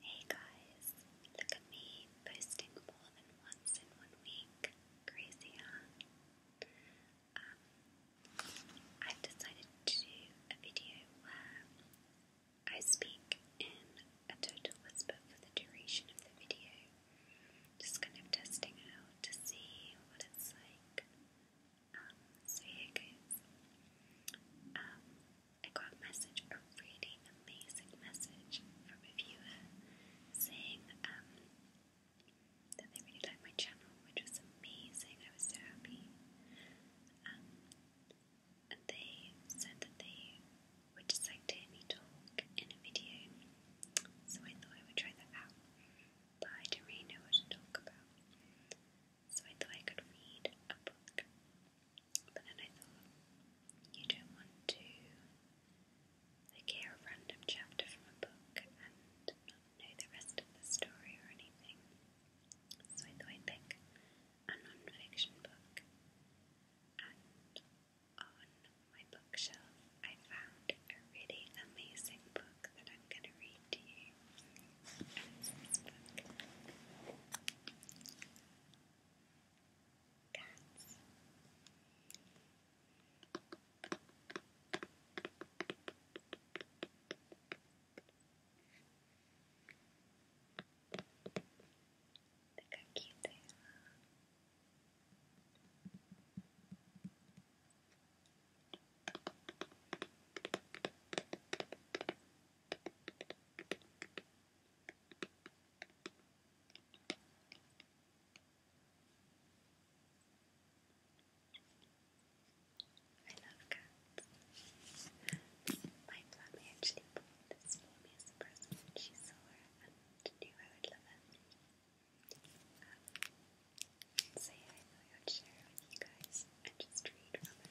Hey guys, look at me posting more than once in one week. Crazy, huh? Um, I've decided to do a video where I speak in a total whisper for the duration of the video. Just kind of testing out to see what it's like. Um, so I got a message, a really amazing message from a viewer saying um, that they really liked my channel, which was amazing. I was so happy. Um, and they said that they would just like to hear me talk in a video, so I thought I would try that out. But I didn't really know what to talk about so I thought I could read a book. But then I thought, you don't want to like hear a random chapter from a book and not know the rest of the story or anything. So I thought I'd pick a non book. And on my bookshelf I found a really amazing book that I'm going to read to you. Cats. Look how cute they are. Look I love cats. My mommy actually bought this for me as a present. She saw it and knew I would love it. so yeah, I thought I would share with you guys and just read from it.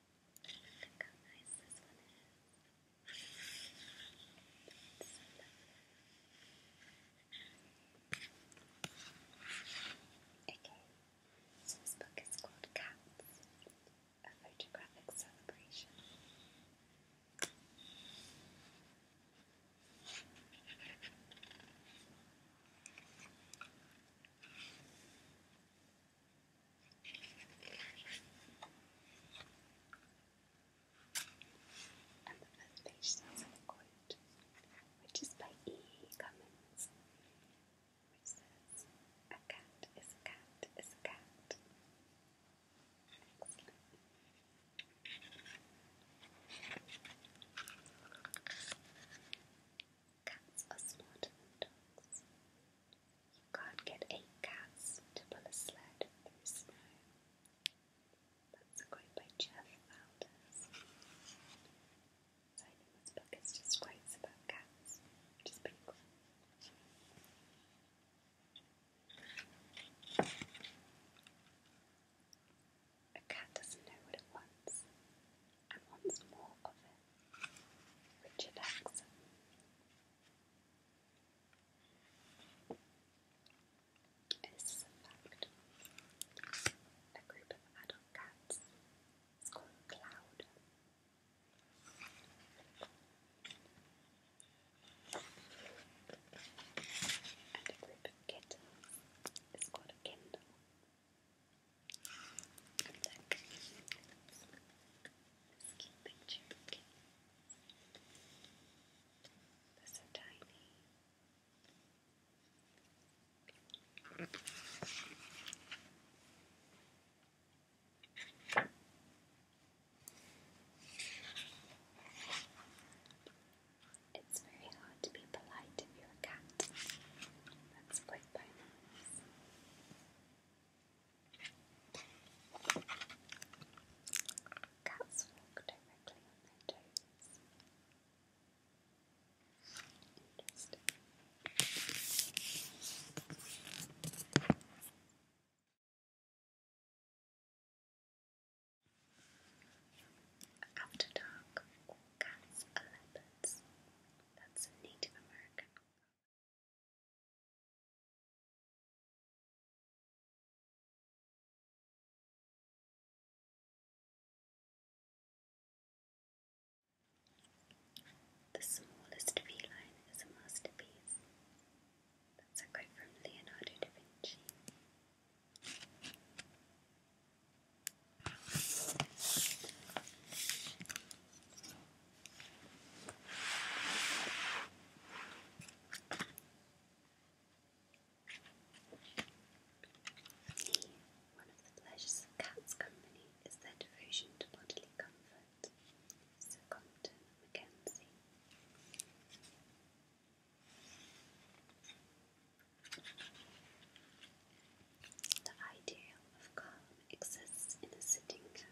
Look how Okay, this book is called Cats, a photographic celebration. And the first page starts with a which is by E. Cummins, which says, A cat is a cat is a cat. Cats are smarter than dogs. You can't get eight cats to pull a sled through snow. That's a quote by Jeff Alders. So I think this book is just quotes about cats, which is cool. A cat doesn't know what it wants and wants more of it. Richard Axon. a group of adult cats is called a cloud. And a group of kittens is called a kindle skin picture. Okay. so tiny. It's very hard to be polite if you're a cat. That's quite by Cats walk directly on their toes. After dark, cats are leopards. That's Native American the smallest feline is a masterpiece. That's a quote from Leonardo da Vinci. One of the pleasures of cats' company is their devotion to bodily comfort. Sir Compton Mackenzie. The ideal of calm exists in a sitting cat.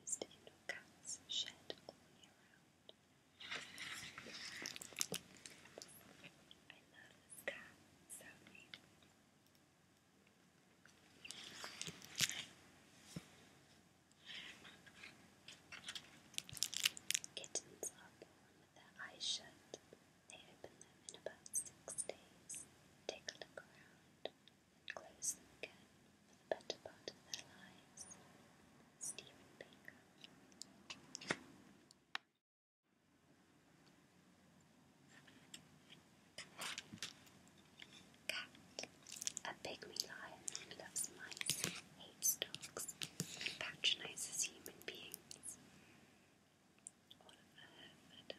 Most indoor shed all year round. I love this so deeply. Kittens are born with their eyes shut. They open them in about six days. Take a look around close them again for the better part of their lives. Stephen Baker. a pygmy lion loves mice, hates dogs, and patronizes human beings. Oliver Herford.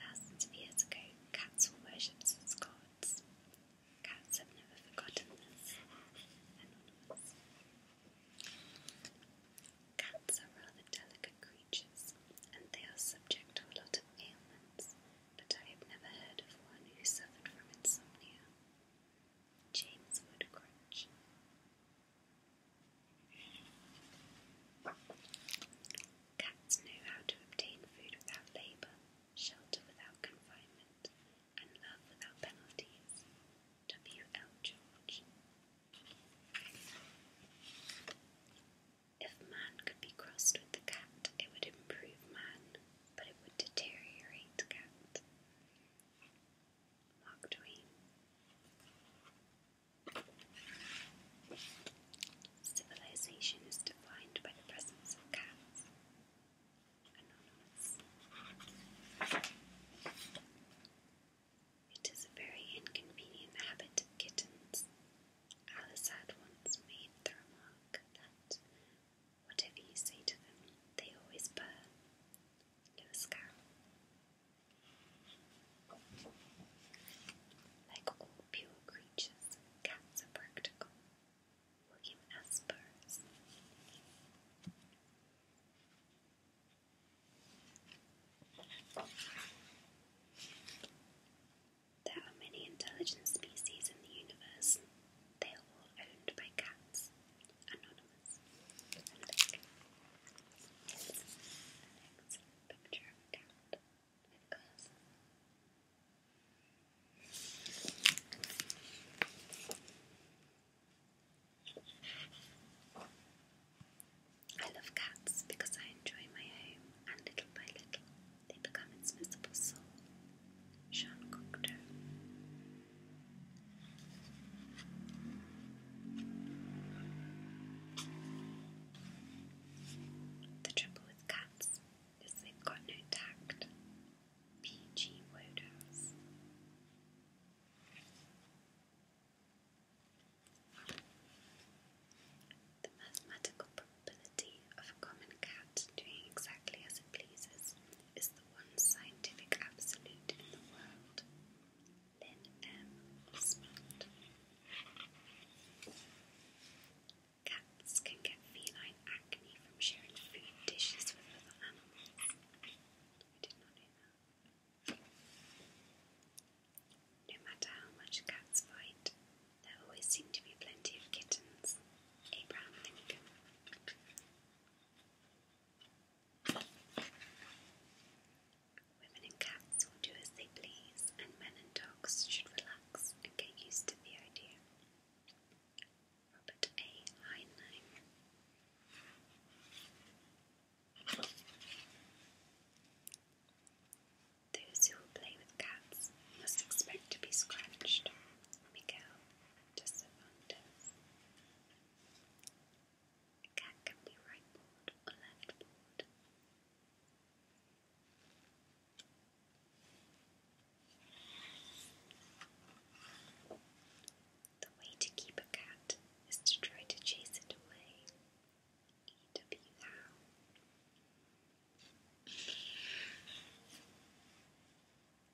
Thousands of years ago, cats were worshipped as gods. Cats have never forgotten this. Anonymous. Cats are rather delicate creatures, and they are subject to a lot of ailments, but I have never heard of one who suffered from insomnia. James Woodcrutch. Cats know how to obtain food without labour, shelter without confinement, and love without penalties. W. L. George. If man could be crossed with the cat, it would improve man, but it would deteriorate cat. Mark Twain. Civilization is defined by the presence of cats. Anonymous. It is a very inconvenient habit of kittens. Alice had once made the remark that whatever you say to them, they always purr. Lewis Carroll. Like all pure creatures, cats are practical. William S. Burroughs. There are many intelligent species in the universe. They are all owned by cats. Anonymous. I love cats because I enjoy my home, and little by little they become its visible soul. Sean Cocteau. The trouble with cats is they've got no tact. P.G. Wodehouse. The mathematical probability of a common cat doing exactly as it pleases is the one scientific absolute in the world. Cats can get feline acne from sharing food dishes with other animals. I did not know that. No matter how much cats fight, there always seem to be plenty of kittens. Abraham Lincoln. Women and cats will do as they please, and men and dogs should relax and get used to the idea. Robert A. Heinlein. Those who play with cats must expect to be scratched. Miguel de Cervantes. A cat can be right-pawed or left-pawed. The way to keep a cat is to try to chase it away. E.W. Howe.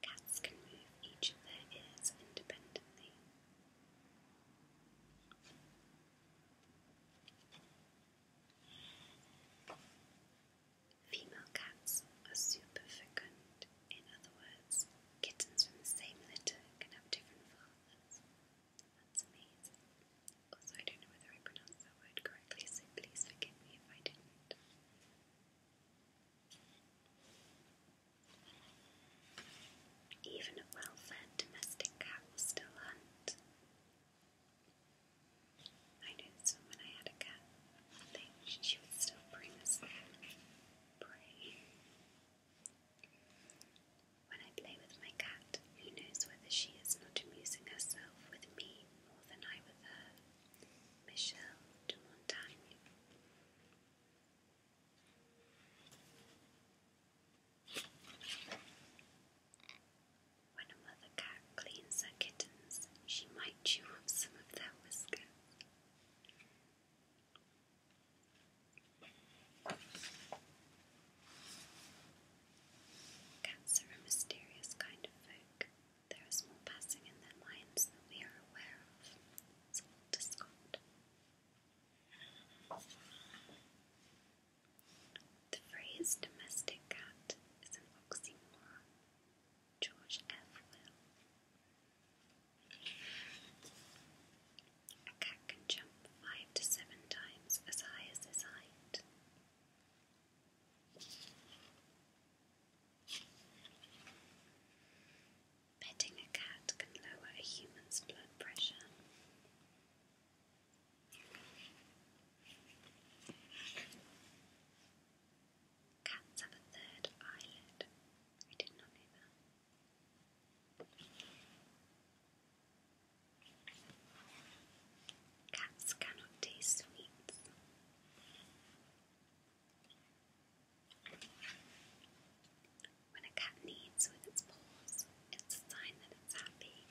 Cats can move each of their ears independently. Female cats are superfecund, in other words, kittens from the same litter can have different fathers. That's amazing. Also, I don't know whether I pronounced that word correctly, please forgive me if I didn't. Even a well fed domestic cat will still hunt. I knew this when I had a cat. They, she would still bring us prey. When I play with my cat, who knows whether she is not amusing herself with me more than I with her? Michel de Montaigne. When a mother cat cleans her kittens, she might chew up some of their whiskers. Cats are a mysterious kind of folk. There is more passing in their minds than we are aware of. It's all the phrase domestic cat is an oxymoron. George F. Will. A cat can jump five to seven times as high as its height. Petting a cat can lower a human's blood pressure. Cats have a third eyelid. I did not know that. Cats cannot taste sweets. When a cat kneads with its paws, it's a sign that it's happy.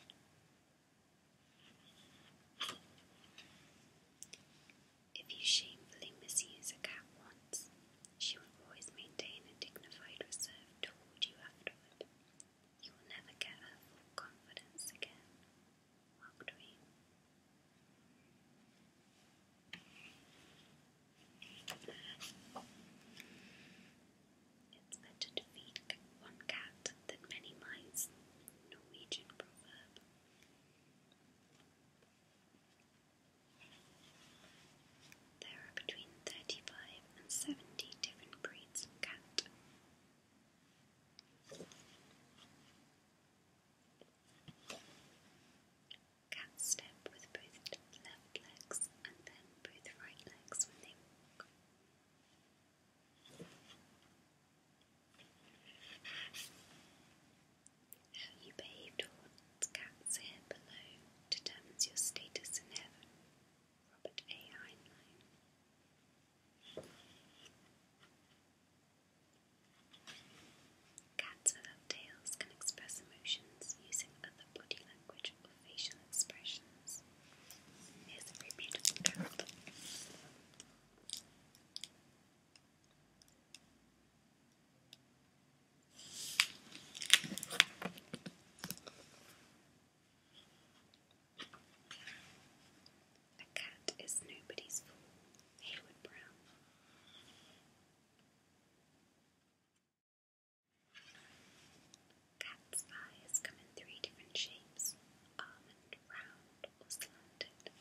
If you shamefully misuse a cat once, she will always maintain a dignified reserve toward you afterward. You will never get her full confidence again. Walk dream. It's better to feed one cat than many mice. Norwegian proverb. There are between 35 and 70 different breeds of cat. Cats step with both left legs and their how you behaved towards cats here below determines your status in heaven. Robert A. Heinlein. Cats without tails can express emotions using other body language facial expressions. It's very beautiful A cat is nobody's fool. Hayward Brown. Cat's eyes come in three different shapes almond, round, or slanted.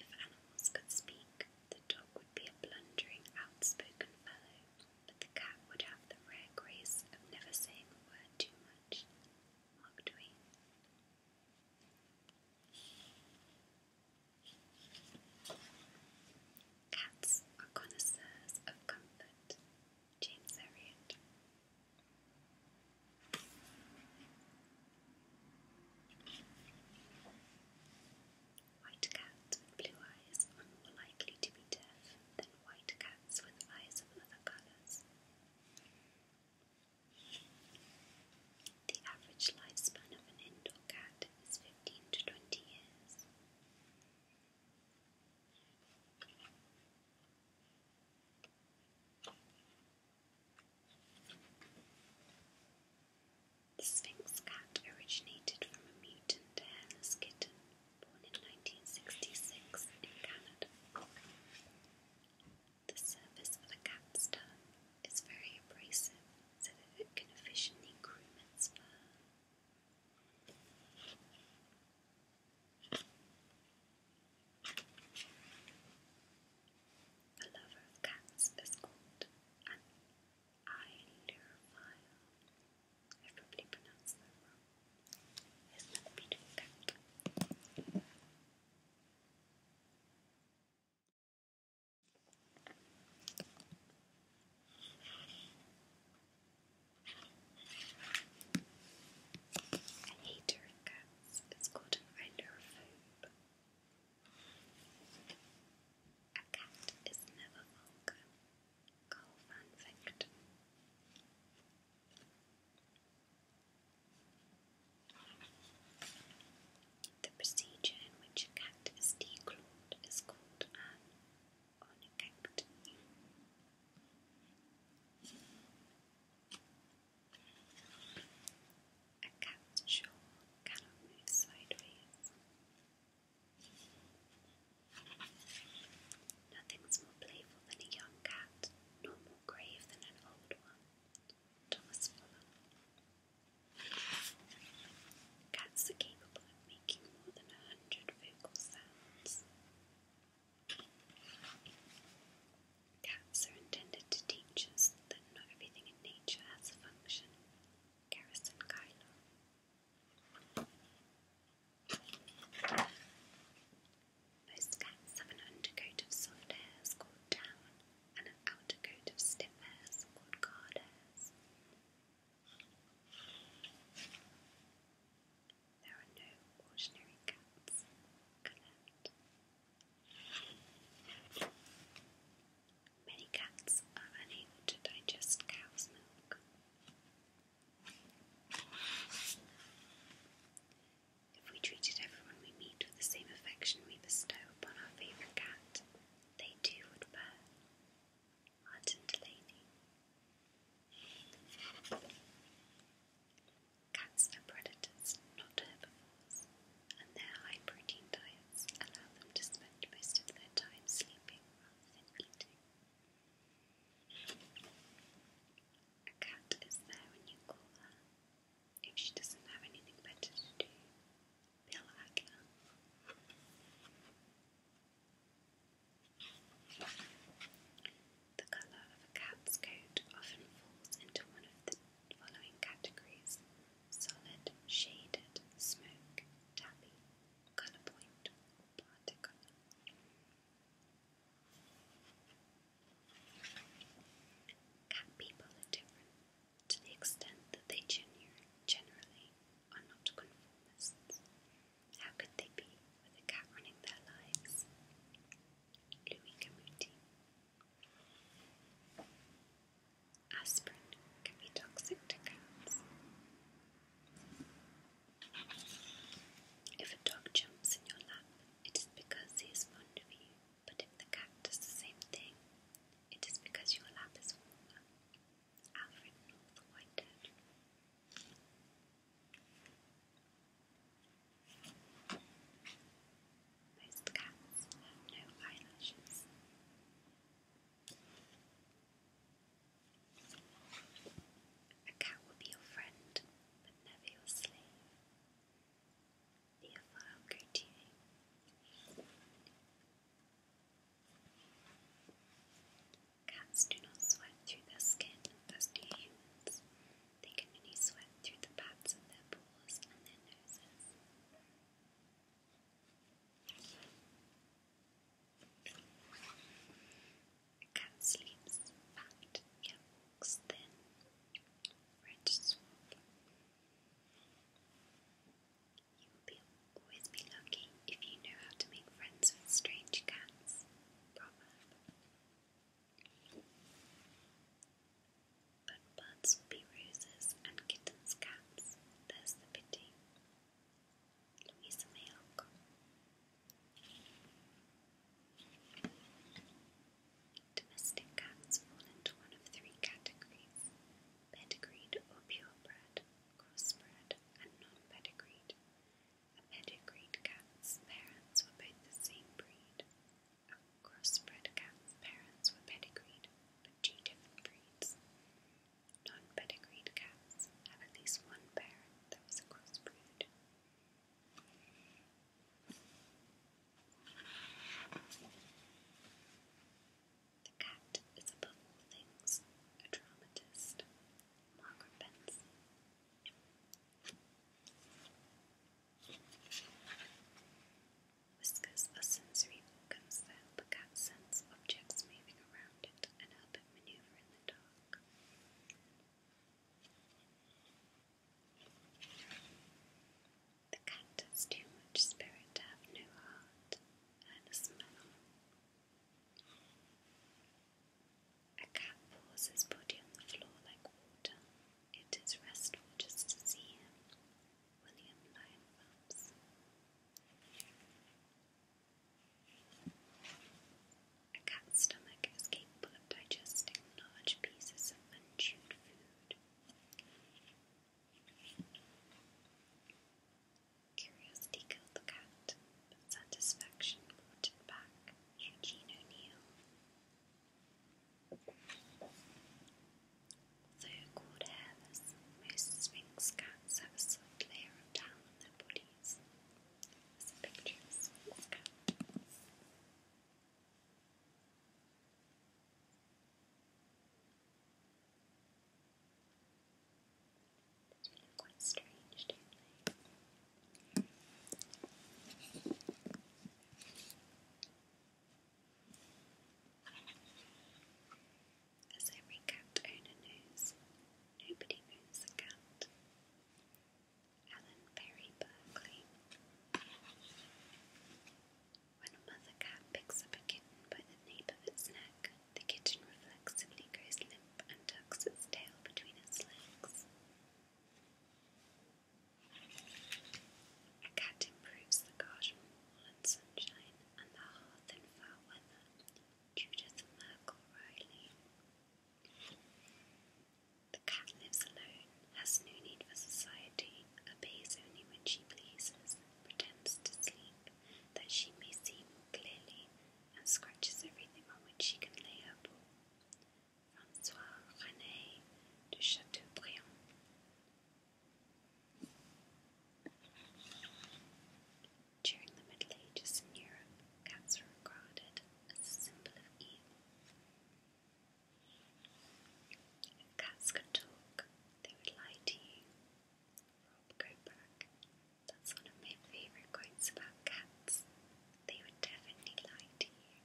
If animals could speak, the dog would be a blundering, outspoken fellow, but the cat would have the rare grace of never saying a word too much. Mark Twain. Cats are connoisseurs of comfort. James Elliot. White cats with blue eyes are more likely to be deaf than white cats with eyes of other colours. The average lifespan of an indoor cat is 15 to 20 years. The Sphinx cat originated from a mutant hairless kitten born in 1966 in Canada. The surface of a cat's tongue is very abrasive so that it can efficiently groom its fur. The lover of cats is called an ailerophile. i probably pronounced that wrong. There's another beautiful cat. I hate her cats. called an ilerophobe. A cat is never vulgar. Carl van Vecht. The procedure in which a cat is declawed is called an ornithectomy. A cat's jaw cannot move sideways. Nothing's more playful than a young cat, nor more grave than an old one. Thomas Fuller. Cats are capable of making more than a hundred vocal sounds. Cats are intended to teach us that not everything in nature has a function. Garrison Kylo. Most cats have an undercoat of soft hairs called down and an outer coat of stiff hairs called card hairs. There are no ordinary cats. Correct. Many cats are unable to digest cow's milk. If we treated everyone we meet with the same affection we bestow upon our favourite cat, they too would purr. Martin Cats are predators, not herbivores, and their high protein diets allow them to spend most of their time sleeping rather than eating. A cat is there when you call her. If she doesn't have anything better to do, pela águia. The colour of a cat's coat often falls into one of the following categories solid, shaded, smoke, tabby, colour point, or Cat people are different to the extent that they genuine, generally are not conformists. How could they be with a cat running their lives? Louis Camuti. Aspirin can be toxic to cats. If a dog jumps in your lap, it is because he is fond of you, but if the cat does the same thing, it is because your lap is warmer. Alfred North Whitehead. Most cats have no eyelashes. A cat will be your friend, but never your slave. Theophile Gautier. Cats do not sweat through their skin as do humans. They can only sweat through the pads of their paws and their noses. A cat sleeps fat yet walks thin. Red swab. You will be, always be lucky if you know how to make friends with strange cats. But buds will be roses and kittens cats. There's the pity. Louisa May Alcott. Domestic cats fall into one of three categories: pedigreed or purebred crossbred and non-pedigreed. A pedigreed cat's parents were both the same breed. A crossbred cat's parents were pedigreed, but two different breeds. Non-pedigreed cats have at least one parent that was the cat is above all things a dramatist. Margaret Benson. Whiskers are sensory organs that help cat sense objects moving around it and help it maneuver in the dark. The cat has too much spirit to have no heart. Ernest Mellon. A cat pours his body on the floor like water. It is restful just to see him. William Lyon Phelps. A cat's stomach is capable of digesting large pieces of unchewed food. Curiosity killed the cat, but satisfaction brought it back. Eugene O'Neill. Though called hairless, most Sphinx cats have a soft layer of down on their bodies. There's a picture of a cat. It's really As every cat owner knows, nobody knows a cat. Alan Perry Berkeley. When a mother cat picks up a kitten by the nape of its neck, the kitten reflexively goes limp and tucks its tail between its legs. A cat improves the garden wall and sunshine and the hearth in foul weather. Judith Merkel Riley. The cat lives alone, has no need for society, obeys only when she pleases, pretends to sleep, that she may see more clearly, and scratches everything on which she can lay her paw. François René de Chateaubriand. During the Middle Ages in Europe, cats were regarded as a symbol of evil. If cats could talk, they would lie to you Rob Grosbeck. That's one of my favourite quotes about cats. They would definitely lie to you.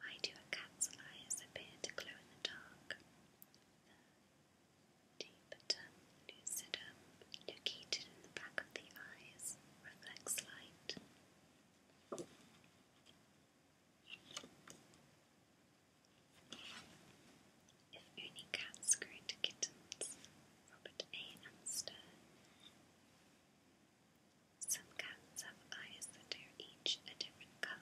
Why do a cat's eyes appear to glow in the dark? The deepetum located in the back of the eyes reflects light. If only cats grew into kittens, Robert A. Amster. Some cats have eyes that are each a different colour.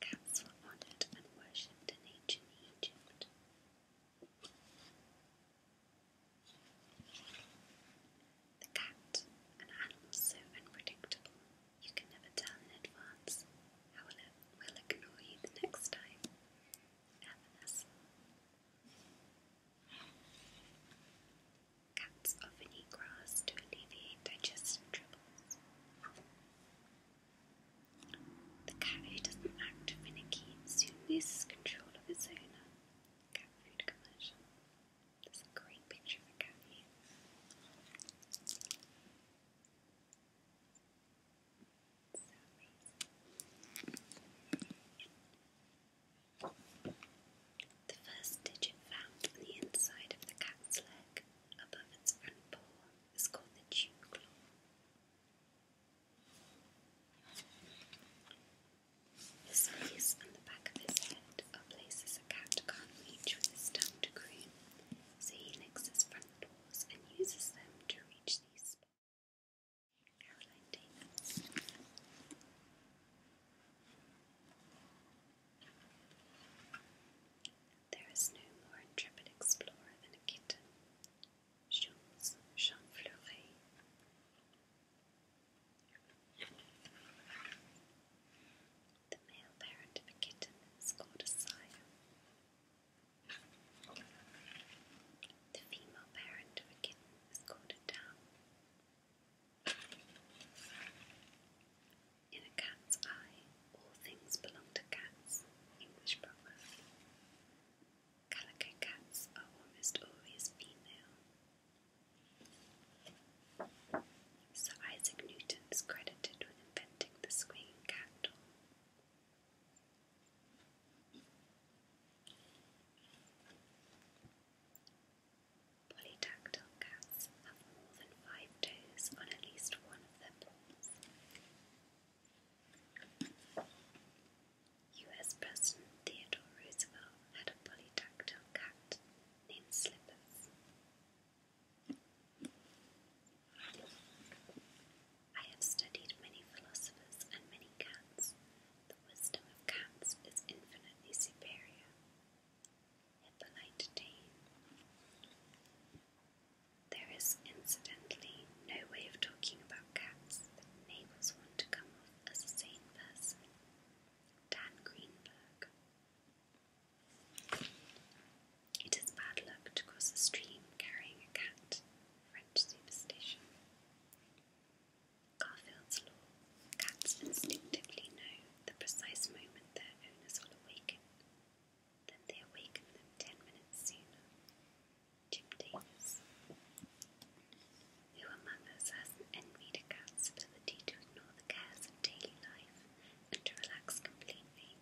Cats were honoured and worshipped in ancient Egypt. The cat, an animal so unpredictable you can never tell in advance how it will ignore you the next time. Nevertheless, Cats often eat grass to alleviate digestive troubles. The cat who doesn't act finicky soon loses control of its owner. Cat food commercial. There's a great picture of a cat the first digit found on the inside of the cat's leg, above its front paw, is called the dew claw. His face and the back of his head are places a cat can reach with his tongue to groom, so he licks his front paws and uses them to reach these spots. Caroline Davis. There is no more intrepid explorer than a kitten. Jules Jean The male parent of a kitten is called a sire. The female parent of a kitten is called a down. In a cat's eye, all things belong to cats. English proverb. Calico cats are almost always female. Sir Isaac Newton is credited with inventing the swinging cat door. Polydactyl cats have more than five toes on at least one of their paws. US President Theodore Roosevelt had a polydactyl cat named Slippers. I have studied many philosophers and many cats. The wisdom of cats is infinitely superior. Hippolyte Taine. There is incidentally no way of talking about cats that enables one to come off as a sane person. Dan Greenberg. It is bad luck to cross a stream carrying a cat. French superstition. Garfield's law. Cats instinctively know the precise moment their owners will awaken. Then they awaken ten minutes sooner. Jim Davis. Who among us hasn't envied a cat's ability to ignore the cares of daily life and to relax completely?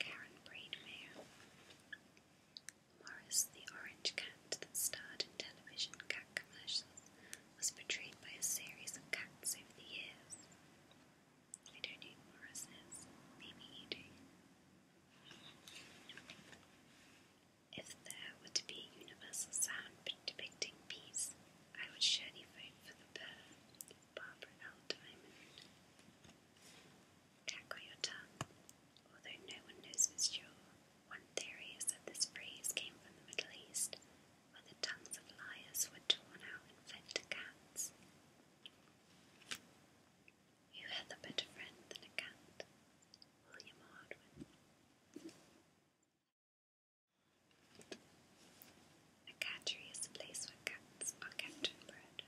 Karen Braidmere. Morris, the orange cat that starred in television cat commercials, was portrayed by a series of cats over the years. I don't know who Maybe you do. If there were to be a universal sound depicting peace, I would surely vote for the bird, Barbara L. Diamond. Cackle your tongue although no one knows for sure. One theory is that this phrase came from the Middle East, where the tongues of liars were torn out and fed to cats. Who hath a better friend than a cat? William Hardwin. A cattery is a place where cats are kept and bred.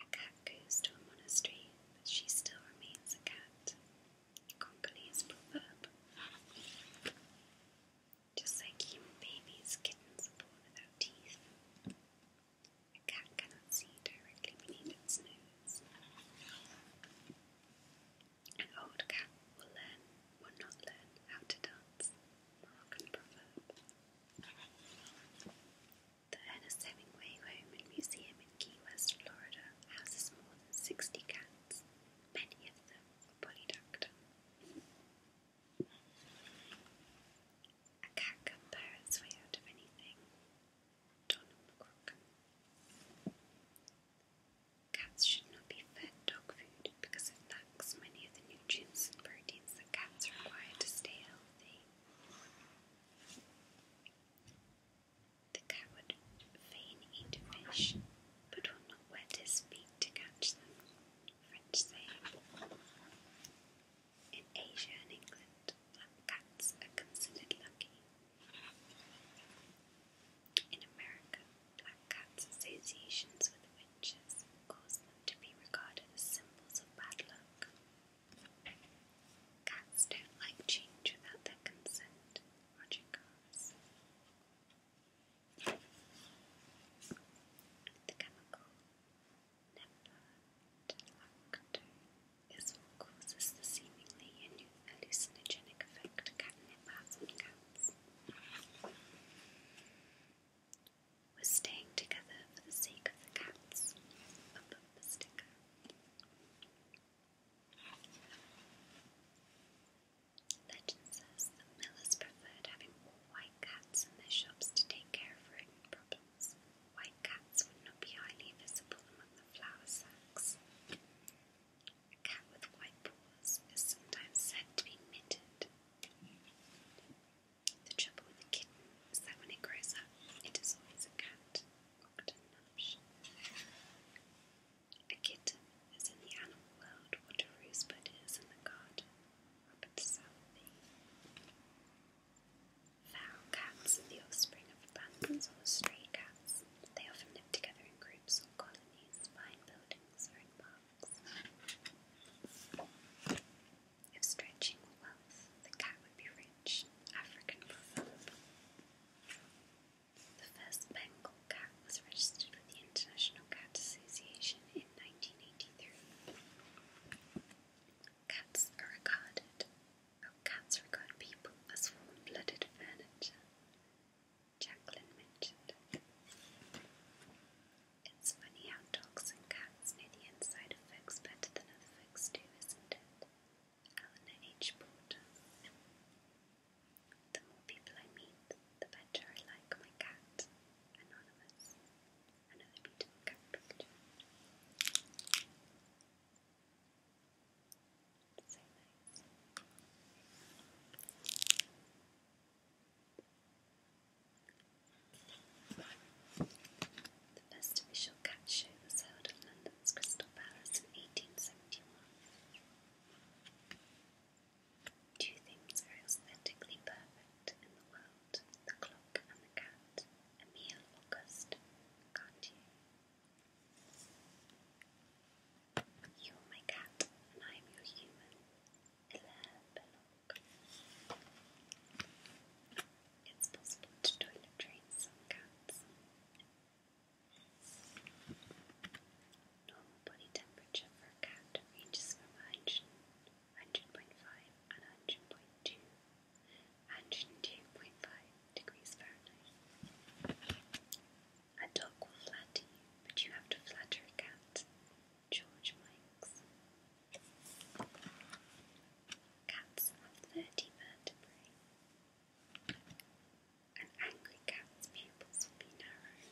A cat goes to a monastery, but she still remains a cat. Congolese proverb. Just like human babies, kittens are born without teeth. A cat cannot see directly beneath its nose. An old cat will learn or not learn how to dance. Moroccan proverb. The Ernest Hemingway Home and Museum in Key West, Florida, houses more than 60 cats, many of them are polydactyl. A cat can purr its out of anything. Donald McCrocken. Cats should not be fed dog food because it lacks many of the nutrients and proteins that cats require to stay healthy. The cat would fain eat fish, but would not wet his feet to catch them, French saying. In Asia and England, black cats are considered lucky. In America, black cats' associations with witches cause them to be regarded as symbols of bad luck. Cats don't like change without their consent, Roger Carrs. The chemical nepenthelacto is what causes the seemingly hallucinogenic effect catnip has on cats. We're staying together for the sake of the cats above sticker. Legend says that millers preferred having white cats in their shops to take care of rodent problems. White cats would not be highly visible among the flour sacks. A with white paws is sometimes said to be mitted. The trouble with a kitten is that when it grows up, it is always a cat, A kitten is in the animal world what a rosebud is in the garden, Robert Southey. Foul cats are the offspring of abandoned or stray cats. They often live together in groups or colonies, behind buildings or in parks. If stretching wealth, the cat would be rich. African proverb. The first Bengal cat was registered with the International Cat Association in 1983. Cats are regarded, oh, cats regard people as warm blooded furniture. Jacqueline mentioned. It's funny how dogs and cats near the inside of folks better than other folks do, isn't it? Eleanor H. Porter. The more people I meet, the better I like my cat. Anonymous. Another beautiful cat picture. So nice. The first official cat show was held at London's Crystal Palace in 1871. Two things are aesthetically perfect in the world the clock and the cat. Emile Auguste Cartier. You're my cat, and I'm your human. It's possible to toilet train some cats. Normal body temperature for a cat ranges from 100, and 100.2, 102.5 degrees Fahrenheit. A dog will flatter you, but you have to flatter a cat. George Mikes. Cats have thirty vertebrae. An angry cat's pupils will be narrow.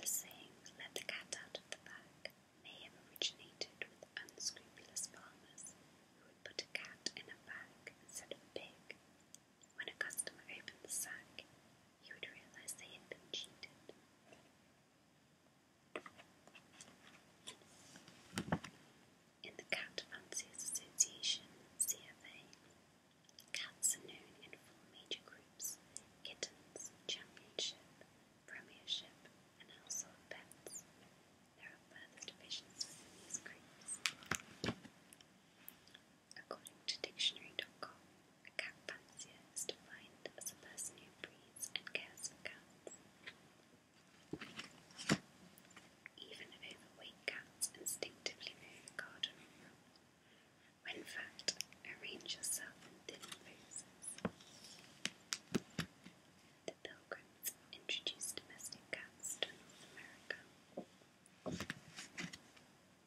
The saying, let the cat out of the bag, may have originated with unscrupulous farmers who would put a cat in a bag instead of a pig. When a customer opened the sack, he would realize they had been cheated. In the Cat Fanciers Association (CFA), cats are known in four major groups: kittens, championship, premiership, and household pets. There are further divisions within these groups. According to dictionary.com, a cat fancier is defined as a person who breeds and cares for cats. Even overweight cats instinctively move a garden room. When fat, arrange yourself in thin poses. The Pilgrims introduced domestic cats to North America.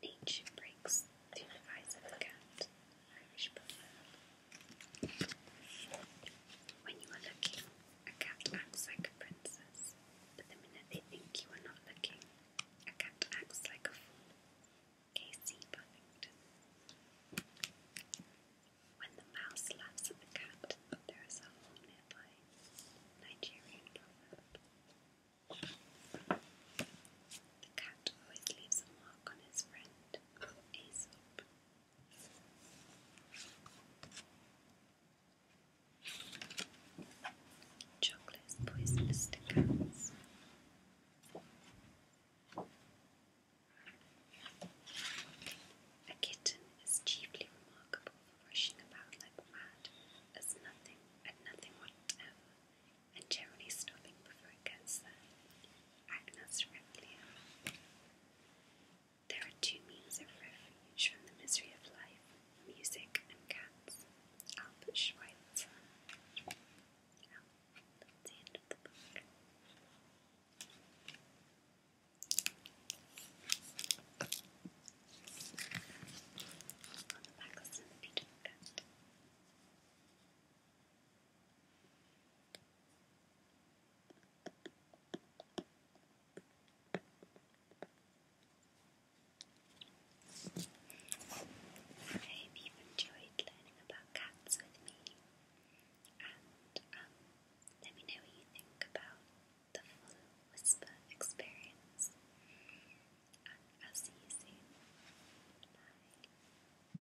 Nature breaks through the eyes of the cat Irish proverb. When you are looking, a cat acts like a princess, but the minute they think you are not looking, a cat acts like a fool. K.C. Buffington. When the mouse laughs at the cat, there is a hole nearby. Nigerian proverb. The cat always leaves a mark on his friend. Chocolate of Aesop. cats. A kitten is chiefly remarkable for rushing about like mad, as nothing and nothing whatever, and generally stopping before it gets there. Agnes Rebellion. There are two means of refuge from the misery of life music and cats. Albert Schweitzer. that's the end of the book. I hope you've enjoyed learning about cats with me, um, let me know what you think about the full whisper experience. And I'll see you soon. Bye.